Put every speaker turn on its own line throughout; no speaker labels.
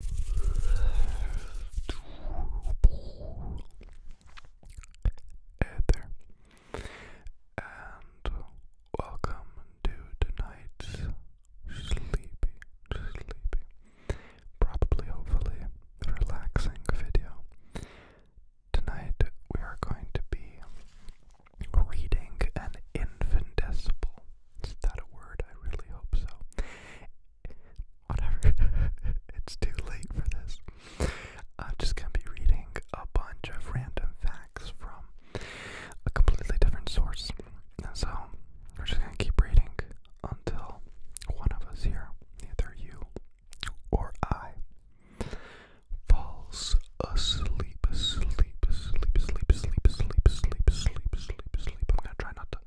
Hey and welcome to tonight's sleepy, sleepy, probably, hopefully, relaxing video. Tonight we are going to be reading an infinitesimal. Is that a word? I really hope so whatever. it's too late for this. I'm just gonna be reading a bunch of random facts from a completely different source. And so we're just gonna keep reading until one of us here, either you or I, falls asleep, asleep, asleep, asleep, asleep, asleep, asleep, asleep, asleep, asleep. I'm gonna try not to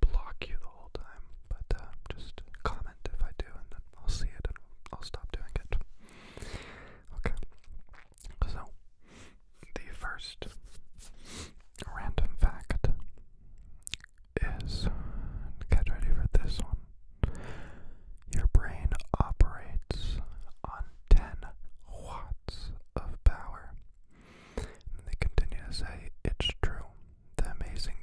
block you the whole time, but uh, just comment if I do, and then I'll see it and I'll stop doing it. Okay, so the first random fact is get ready for this one. Your brain operates on 10 watts of power they continue to say, it's true. The amazing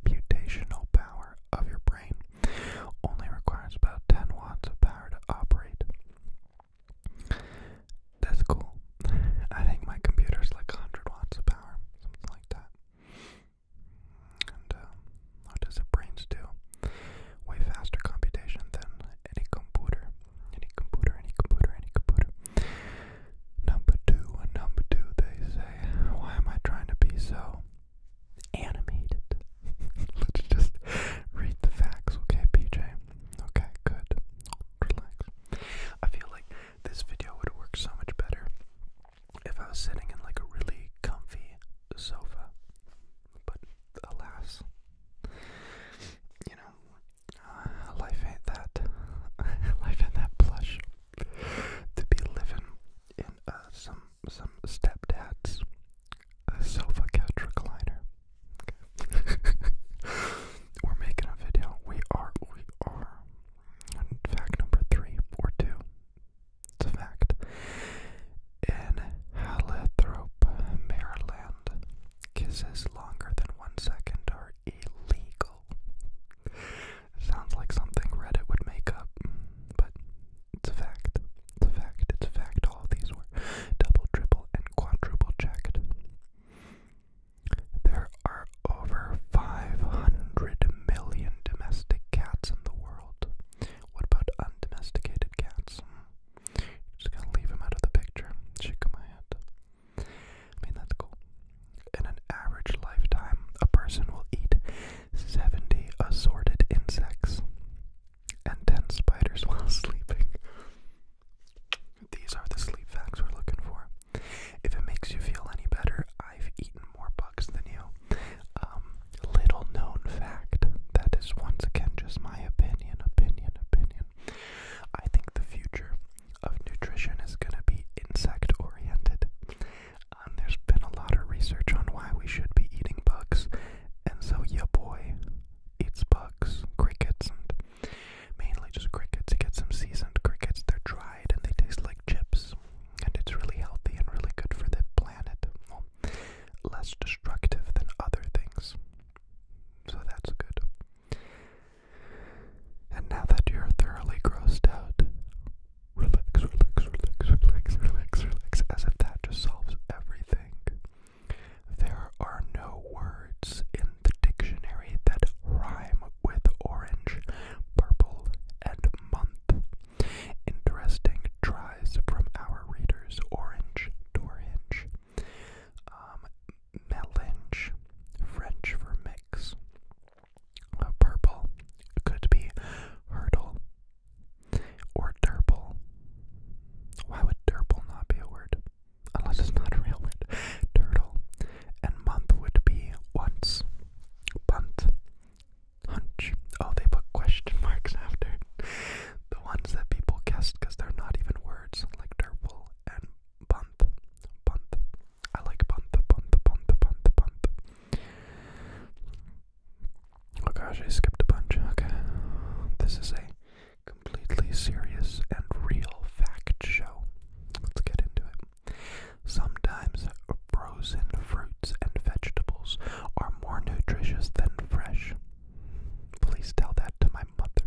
computational power of your brain only requires about 10 watts of power to operate. That's cool. I think my computer's like 100 watts of power, something like that. And um, what does the brains do? Way faster computation than any computer. Any computer, any computer, any computer. Number two, and number two, they say, why am I trying to be so animated? Let's just read the facts, okay, PJ? Okay, good. Relax. I feel like this video would work so much better if I was sitting in like a really comfy sofa. But alas, you know, uh, life ain't that. life ain't that plush. to be living in uh, some some stepdad's uh, sofa couch recliner. We're making a video. We are. We are. Fact number three or two. It's a fact. In Halithrop, Maryland kisses longer than one second are illegal. Sounds like something Reddit would make up, but it's a fact. It's a fact. It's a fact. All of these were double, triple, and quadruple checked. There are over 500 million domestic cats in the world. What about undomesticated cats? Hmm. Just gonna leave him out of the picture. Shake my head. I mean, that's cool. In an average lifetime, a person will eat 70 assorted insects and 10 spiders while sleeping. These are the sleep facts we're looking for. If it makes you feel any better, I've eaten more bugs than you. Um, little known fact that is once again just my opinion, opinion, opinion. I think the future of nutrition is going to be insect oriented. Um, there's been a lot of research on why we should be eating bugs, and so yeah, boy it's bugs, crickets, and mainly just crickets. You get some seasoned crickets, they're dried and they taste like chips, and it's really healthy and really good for the planet. less destructive than other things. So that's good. And now that you're thoroughly grossed out, relax, relax, relax, relax, relax, relax, as if that just solves everything. There are no words in the dictionary that rhyme with orange, purple, and month. Interesting tries from our readers Orange, Dorange, um, melange, French for mix. Uh, purple could be hurdle or derple. Why would derple not be a word? Unless it's not a real word. Turtle. And month would be once. Bunt. Hunch. Oh, they put question marks after. The ones that people guessed because they're not even words, like derple and Bunth, Bunth. I like Bunth, Bunth, Bunth, Bunth, Bunth. Oh gosh, I skipped a bunch. Okay. This is a completely serious and real fact show. Let's get into it. Sometimes frozen fruits and vegetables are more nutritious than fresh. Please tell that to my mother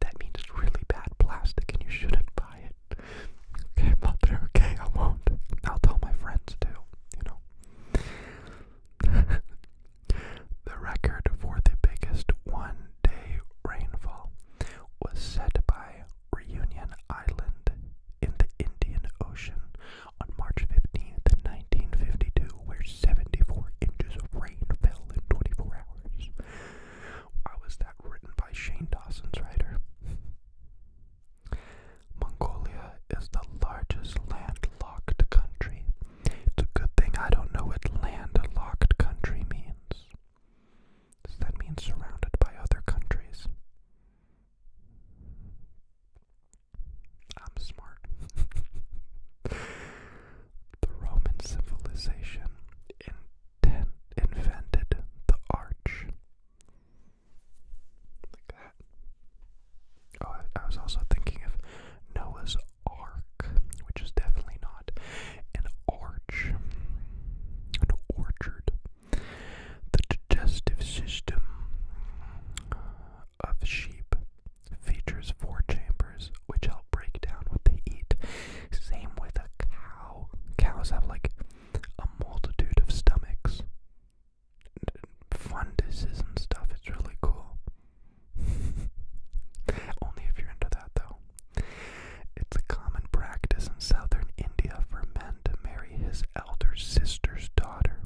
that means it's really bad plastic and you shouldn't buy it. Okay, I'm not there. Okay, I won't. I'll tell my friends too, you know. the record for the biggest one day rainfall was set by Reunion Island in the Indian Ocean on March 15th, 1952, where 74 inches of rain fell in 24 hours. Why was that written by Shane Dawson's writer? Mongolia is the largest landlocked country. It's a good thing I don't know what landlocked country means. Does that mean surrounded by other countries? I'm smart. the Roman civilization in ten invented the arch. Like that. Oh, I, was also thinking of Noah's Ark, which is definitely not an arch, an orchard. The digestive system of sheep features four chambers which help break down what they eat. Same with a cow. Cows have like a multitude of stomachs. Funduses and stuff, it's really cool. Only if you're into that though. It's a common practice in southern India for men to marry his elder sister's daughter.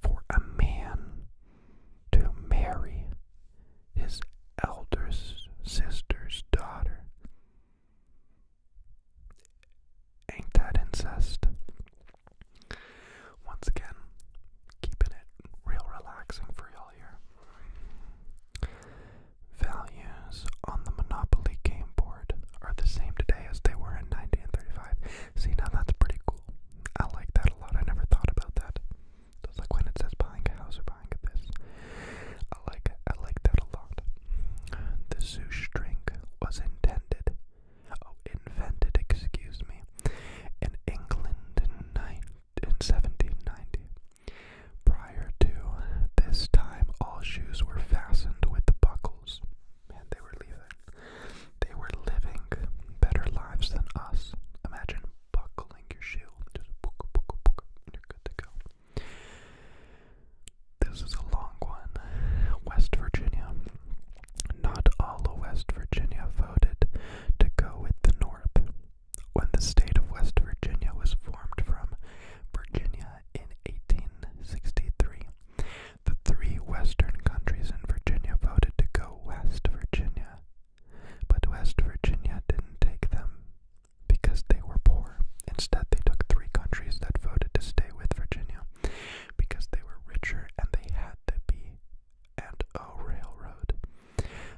For a man to marry his elder sister's daughter. Ain't that incest? Once again, keeping it real relaxing for y'all here. Values on the Monopoly game board are the same today as they were in 1935. See, now that's pretty cool. I like that a lot. I never thought about that. So like when it says buying a house or buying this. I like I like that a lot. The sush drink was intended, oh invented, excuse me, in England in, 1790. Prior to this time, all shoes were fastened with the buckles, and they were leaving. They were living better lives than us. Imagine buckling your shoe. Just book, book, book, you're good to go. This is a long one. West Virginia. Not all of West Virginia voted to go with the North. When the state of West Virginia was formed from Virginia in 1863, the three western countries in Virginia voted to go West Virginia but West Virginia didn't take them because they were poor. Instead, they took three countries that voted to stay with Virginia because they were richer and they had the B and O Railroad.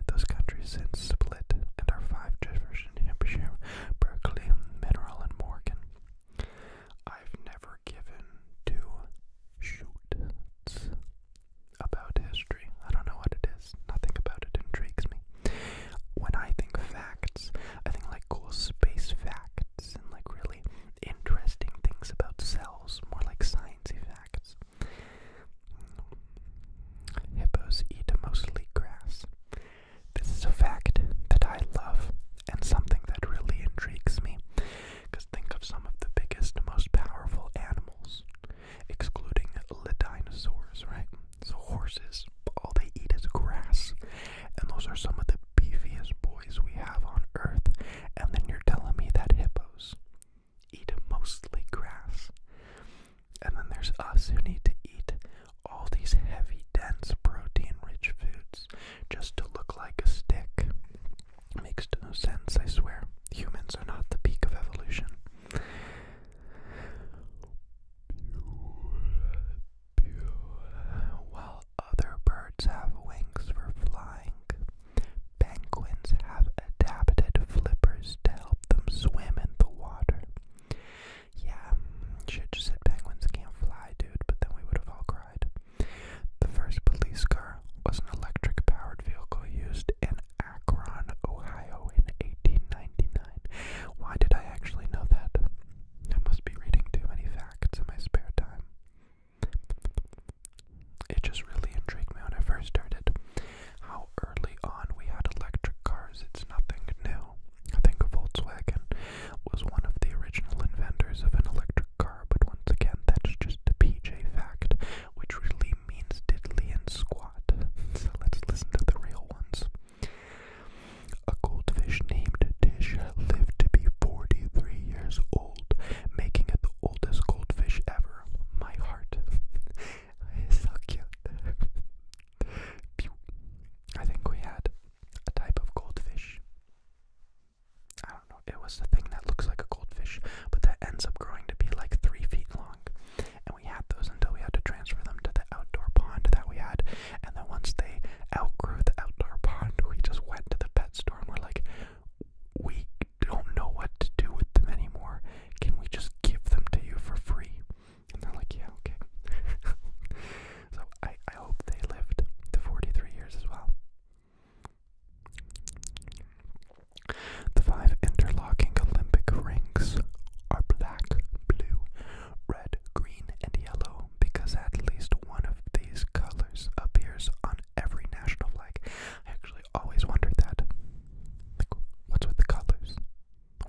Those countries since split and are five Jefferson, Hampshire, Berkeley, Mineral, and Morgan. I've never given two shoots about history. I don't know what it is. Nothing about it intrigues me. When I think facts, I think like cool space facts and like really interesting things about cells, more like sciencey facts. Hippos eat mostly grass. This is a fact that I love and something that really intrigues me. Because think of some of the biggest, most powerful animals excluding the dinosaurs, right? So horses, all they eat is grass, and those are some of the beefiest boys we have on Earth. And then you're telling me that hippos eat mostly grass, and then there's us who need to eat all these heavy, dense, protein-rich foods just to look like a stick. Makes no sense, I swear. Humans are not the peak of evolution. While other birds have wings for flying, penguins have adapted flippers to help them swim in the water. Yeah, should just said penguins can't fly, dude, but then we would have all cried. The first police car was an electric powered vehicle used in Akron, Ohio in 1899. Why did I actually know that? I must be reading too many facts in my spare time. It just really intrigued me when I first started. How early on we had electric cars, it's nothing new. I think Volkswagen was one of the original inventors of an electric car, but once again, that's just a PJ fact, which really means diddly and squat. so let's listen to the real ones. A goldfish named Tish lived to be 43 years old, making it the oldest goldfish ever. My heart. it's so cute. I think we had a type of goldfish. I don't know, it was the thing that looks like a goldfish, but that ends up growing to be like three feet long and we had those until we had to transfer them to the outdoor pond that we had. And then once they outgrew the outdoor pond, we just went to the pet store and we're like, we don't know what to do with them anymore. Can we just give them to you for free? And they're like, yeah, okay. so I, I hope they lived to 43 years as well. The five interlocking Olympic rings are black, blue, red, green, and yellow because at least one of these colors appears on every national flag. I actually always wondered that. Like, what's with the colors?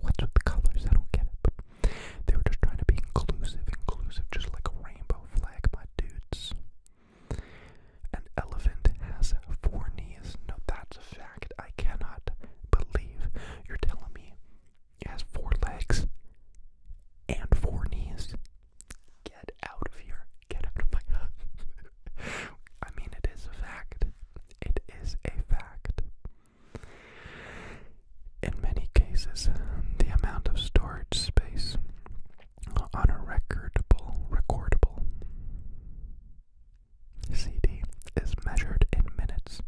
What's with the colors? I don't get it. they were just trying to be inclusive, inclusive, just like a rainbow flag, my dudes. An elephant has four knees. No, that's a fact. I cannot believe you're telling me it has four legs and four knees. Get out of here. Get out of my I mean, it is a fact. It is a fact. In many cases, the amount of storage space on a recordable, recordable CD is measured in minutes.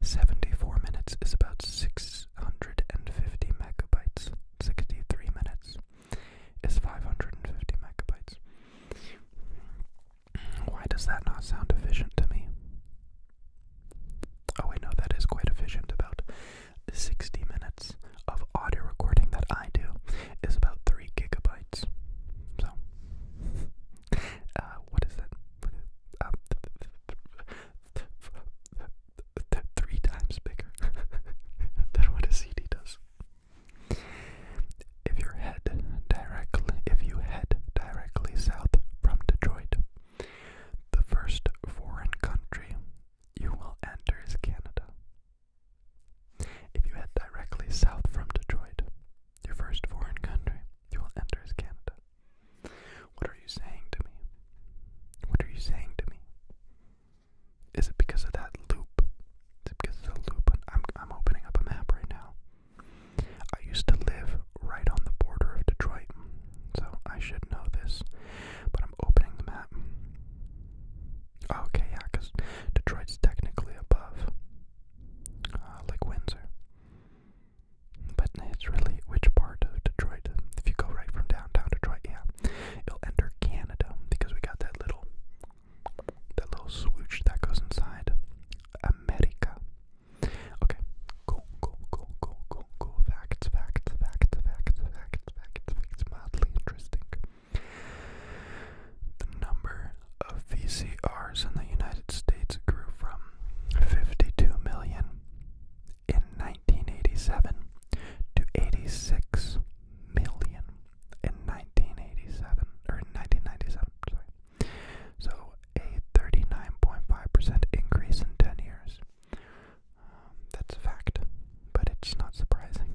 74 minutes is about 650 megabytes. 63 minutes is 550 megabytes. Why does that not sound efficient to me? Oh, I know that is quite efficient. About 60 minutes of audio recording that I do is about three gigabytes. So, uh, what is it? Um, three times bigger than what a CD does. If your head directly, if you head directly south from Detroit, the first foreign country you will enter is Canada. If you head directly south from Detroit, your first foreign country you will enter is Canada. What are you saying to me? What are you saying to me? Is it because of that loop? Is it because of the loop? I'm, I'm opening up a map right now. I used to live right on the border of Detroit, so I should know this, but I'm opening the map. Oh, okay, yeah, because Detroit's technically above uh, Lake Windsor. But it's really which part of Detroit? If you go right from downtown Detroit, yeah, you'll enter Canada because we got that little that little swoosh that goes inside America. Okay, cool, cool, cool, cool, cool, cool. Facts, facts, facts, facts, facts, facts, facts, facts. Mildly interesting. The number of VCRs in the United States grew from 52 million in 1987 to 86 million in 1987 or 1997, sorry. So a 39.5% increase in 10 years. Um, that's a fact, but it's not surprising.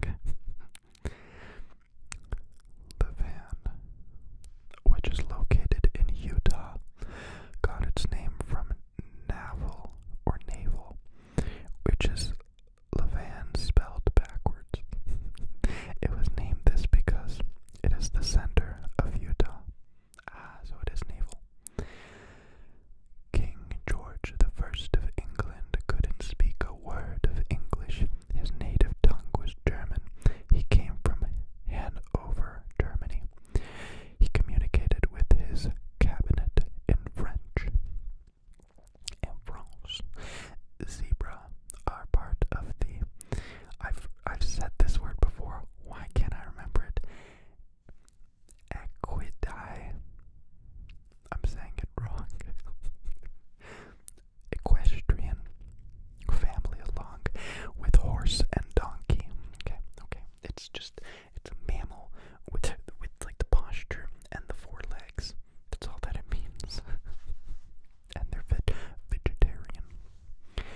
Levan, which is located in Utah, got its name from naval or Navel, which is Levan spelled backwards. it was named this because it is the center of Utah. Ah, so it is Navel. King George the First of England couldn't speak a word of English his native tongue was German. He came from Hanover, Germany. He communicated with his cabinet in French. In France, zebra are part of the. I've I've said this word before. Why can't I remember it? Equidae. I'm saying it wrong. equestrian family along with horse and donkey. Okay, okay. It's just it's a mammal with with like the posture and the four legs. That's all that it means. and they're veg vegetarian.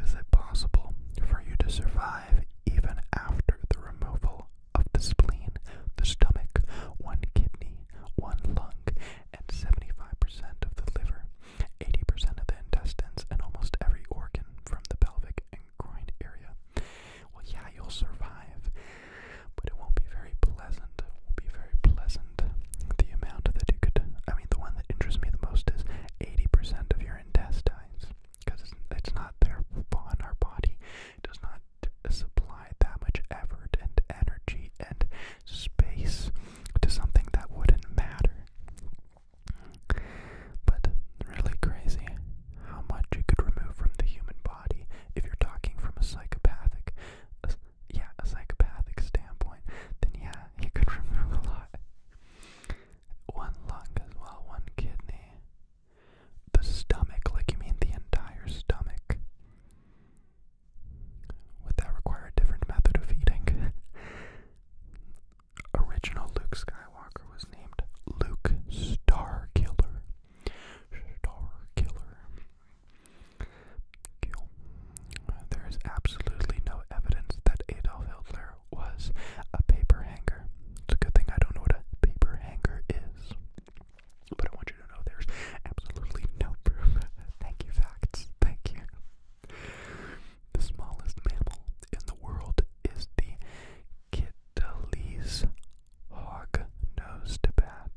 Is it possible for you to survive even after the removal of the spleen, the stomach, one kidney? one lung, and 75% of the liver, 80% of the intestines, and almost every organ from the pelvic and groin area. Well, yeah, you'll survive, but it won't be very pleasant. It won't be very pleasant. The amount that you could, I mean, the one that interests me the most is 80% of your intestines, because it's, it's not there on our body. It does not supply that much effort and energy and space to something that wouldn't matter. But really crazy how much you could remove from the human body if you're talking from a psychopathic, yeah, a psychopathic standpoint. Then yeah, you could remove a lot. One lung as well, one kidney, the stomach. Like you mean the entire stomach? Would that require a different method of eating? Original Luke Skywalker was named Luke Starkiller. Starkiller. There is absolutely no evidence that Adolf Hitler was a paper hanger. It's a good thing I don't know what a paper hanger is. But I want you to know there's absolutely no proof. Thank you, facts. Thank you. The smallest mammal in the world is the Kittilee's hog-nosed bat.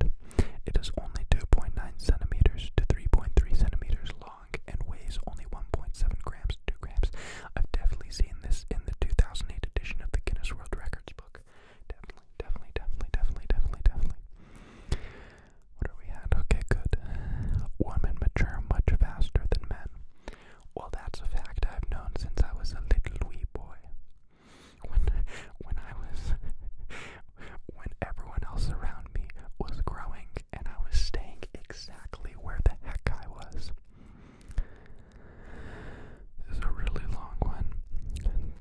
It is only 2.9 centimeters to 3.3 centimeters long and weighs only 1.7 grams to grams. I've definitely seen this in the 2008 edition of the Guinness World Records book. Definitely, definitely, definitely, definitely, definitely, definitely. What are we at? Okay, good. Women mature much faster than men. Well, that's a fact I've known since I was a little wee boy. When, when I was, when everyone else around me was growing and I was staying exactly where the heck I was is a really long one,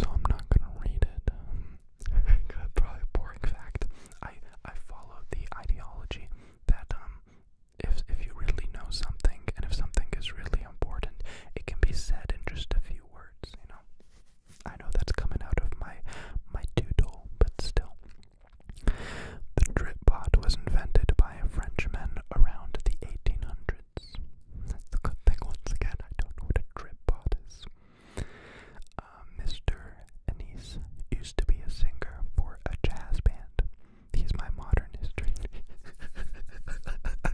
so I'm not gonna read it. Um, boring fact. I I follow the ideology that um, if if you really know something, and if something is really important, it can be said in just a few words. You know, I know that's coming out of my my doodle, but still. The drip pot was invented by a Frenchman around the 1800s the good thing. Once again, I don't know what a drip pod is. Uh, Mr. Anise used to be a singer for a jazz band. He's my modern history.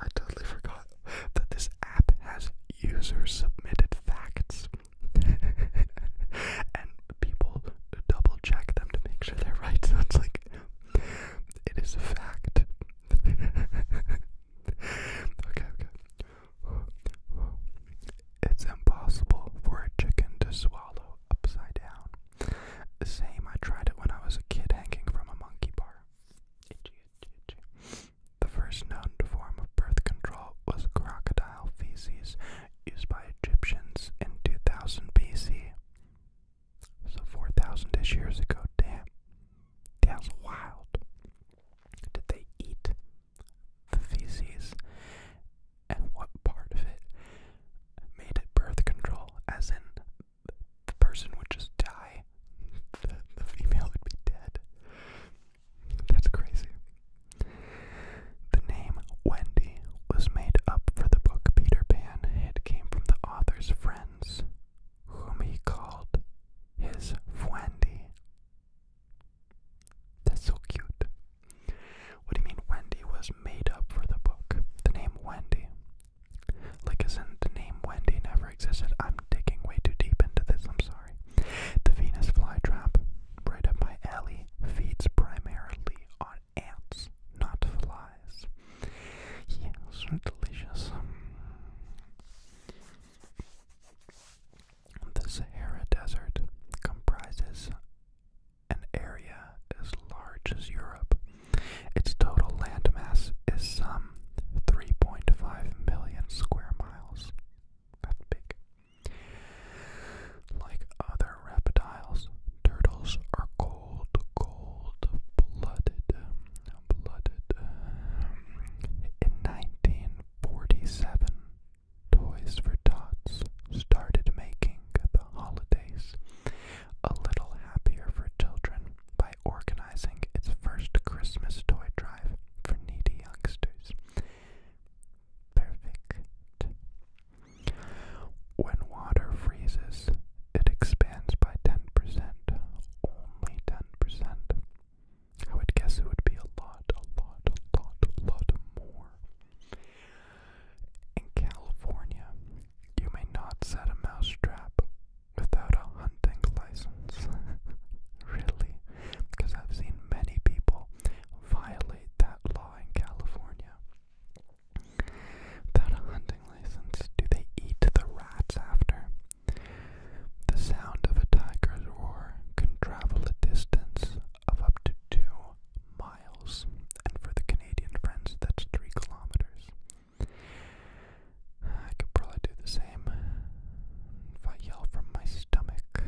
I totally forgot that this app has user submitted facts. and people double check them to make sure they're right. So it's like it is a fact. okay, okay. It's impossible for a chicken to swallow upside down. Same, I tried it when I was a kid hanging from a monkey bar. The first known form of birth control was crocodile feces used by Egyptians in 2000 BC. So 4,000 ish years ago, damn. That's wild. Did they eat the feces? And what part of it made it birth control? As in, the person would just die, the, female would be dead. That's crazy. The name Wendy was made up for the book Peter Pan. It came from the author's friends, whom he called his Fwendy. That's so cute. What do you mean Wendy was made up for the book? The name Wendy. Like, isn't the name Wendy never existed? I'm digging way too deep into this, I'm sorry. The Venus flytrap, right up my alley, feeds primarily on ants, not flies. Yeah, so delicious. The Sahara Desert comprises an area as large as Europe. Its total land mass is some 3.5 million square miles. That's big. Like other reptiles, turtles are cold, cold blooded. Um, in 1947, Toys for Tots started making the holidays a little happier for children by organizing its first Christmas toy drive for needy youngsters. Perfect. When water freezes, it expands by 10%. Only 10%. I would guess it would be a lot, a lot, a lot, lot more. In California, you may not set a mouse trap without a hunting license. really? because I've seen many people violate that law in California. Without a hunting license, do they eat the rats after? The sound of a tiger's roar can travel a distance of up to two miles, and for the Canadian friends, that's three kilometers. I could probably do the same if I yell from my stomach.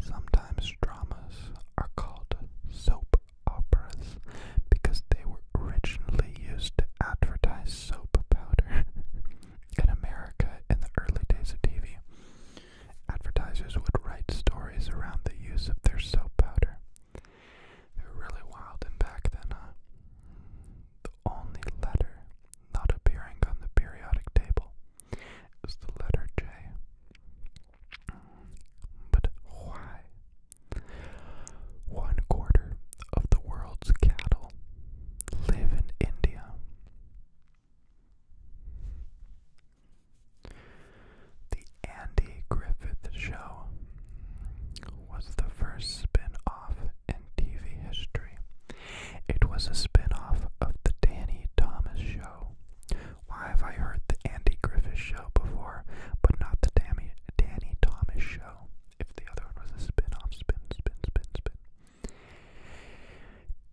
Sometimes dramas are called soap operas because they were originally used to advertise soap powder. in America, in the early days of TV, advertisers would write stories around the use of their soap powder. They were really wild and back then, uh, only letter not appearing on the periodic table is the letter J. But why? One quarter of the world's cattle live in India. The Andy Griffith Show was the first spin off TV history. It was a spin off of The Danny Thomas Show. Why have I heard The Andy Griffith Show before, but not The Danny, Danny Thomas Show? If the other one was a spin spin, spin, spin, spin.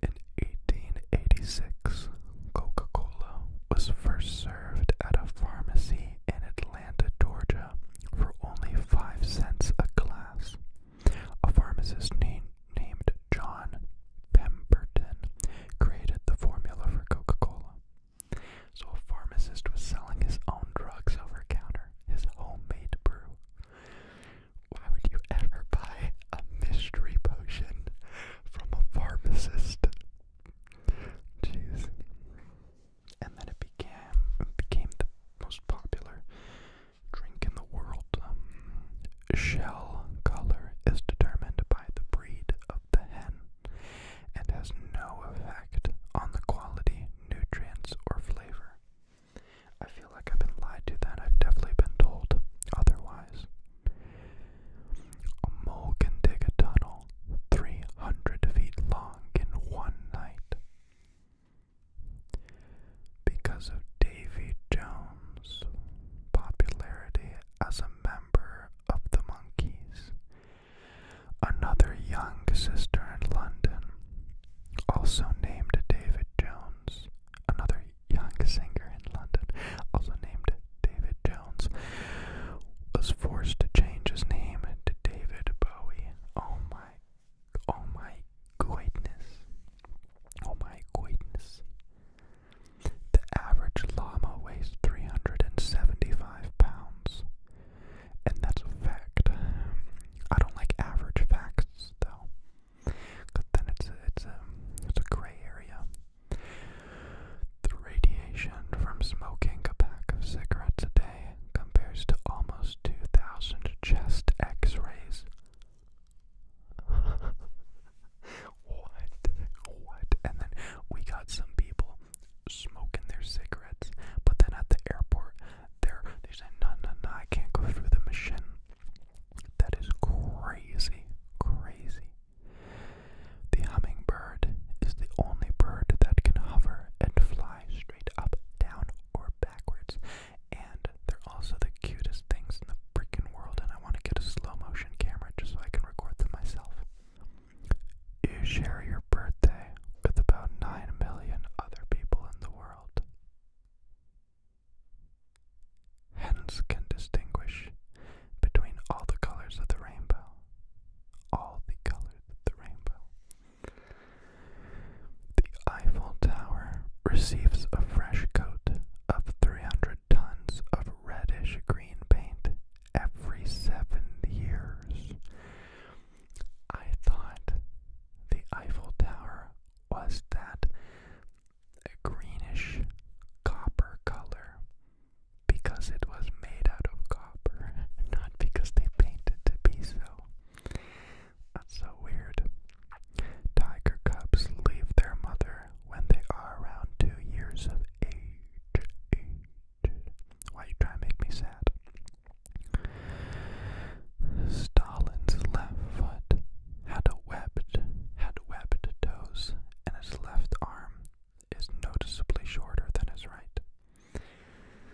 In 1886, Coca Cola was first served at a pharmacy in Atlanta, Georgia, for only five cents a glass. A pharmacist na named John Pemberton created the formula for Coca Cola. So a pharmacist was selling his own drugs over counter, his homemade brew. Why would you ever buy a mystery potion from a pharmacist? Jeez. And then it became became the most popular drink in the world. Um, shell color is determined by the breed of the hen and has no effect on the quality, nutrients, or flavor. I feel like I've been lied to that. I've definitely been told otherwise. A mole can dig a tunnel 300 feet long in one night. Because of Davy Jones' popularity as a member of the Monkees, another young sister in London, also named David Jones, another young singer in London, also named David Jones, was forced to change his name to David Bowie. Oh my Oh my goodness. Oh my goodness. The average llama weighs 375 pounds. And that's a fact. I don't like average facts though. Cause then it's it's a it's a gray area. The radiation from smoking a pack of cigarettes a day compares to almost 2,000 chest X-rays what? What? And then we got some people smoking their cigarettes, but then at the airport, they're they said, "No, no, no, I can't go through the machine." That is crazy, crazy. The hummingbird is the only bird that can hover and fly straight up, down, or backwards and they're also the cutest things in the freaking world. And I want to get a slow motion camera just so I can record them myself. You share your birthday with about 9 million other people in the world. Hence, can distinguish between all the colors of the rainbow. All the colors of the rainbow. The Eiffel Tower receives a fresh coat of 300 tons of reddish green paint every seven years. I thought the Eiffel Tower was that greenish copper color because it was made out of copper, not because they painted to be so. That's so weird. Tiger cubs leave their mother when they are around two years of age. age. Why you trying to make me sad? Stalin's left foot had webbed, had webbed toes, and his left arm is noticeably shorter than his right.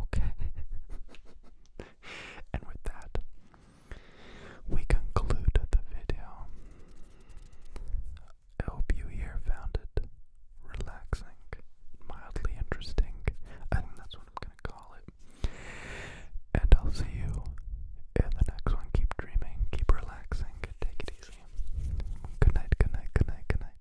Okay? and with that, we conclude the video. I hope you here found it relaxing, mildly interesting. I think that's what I'm gonna call it. And I'll see you in the next one. Keep dreaming, keep relaxing, take it easy. Good night, good night, good night, good night.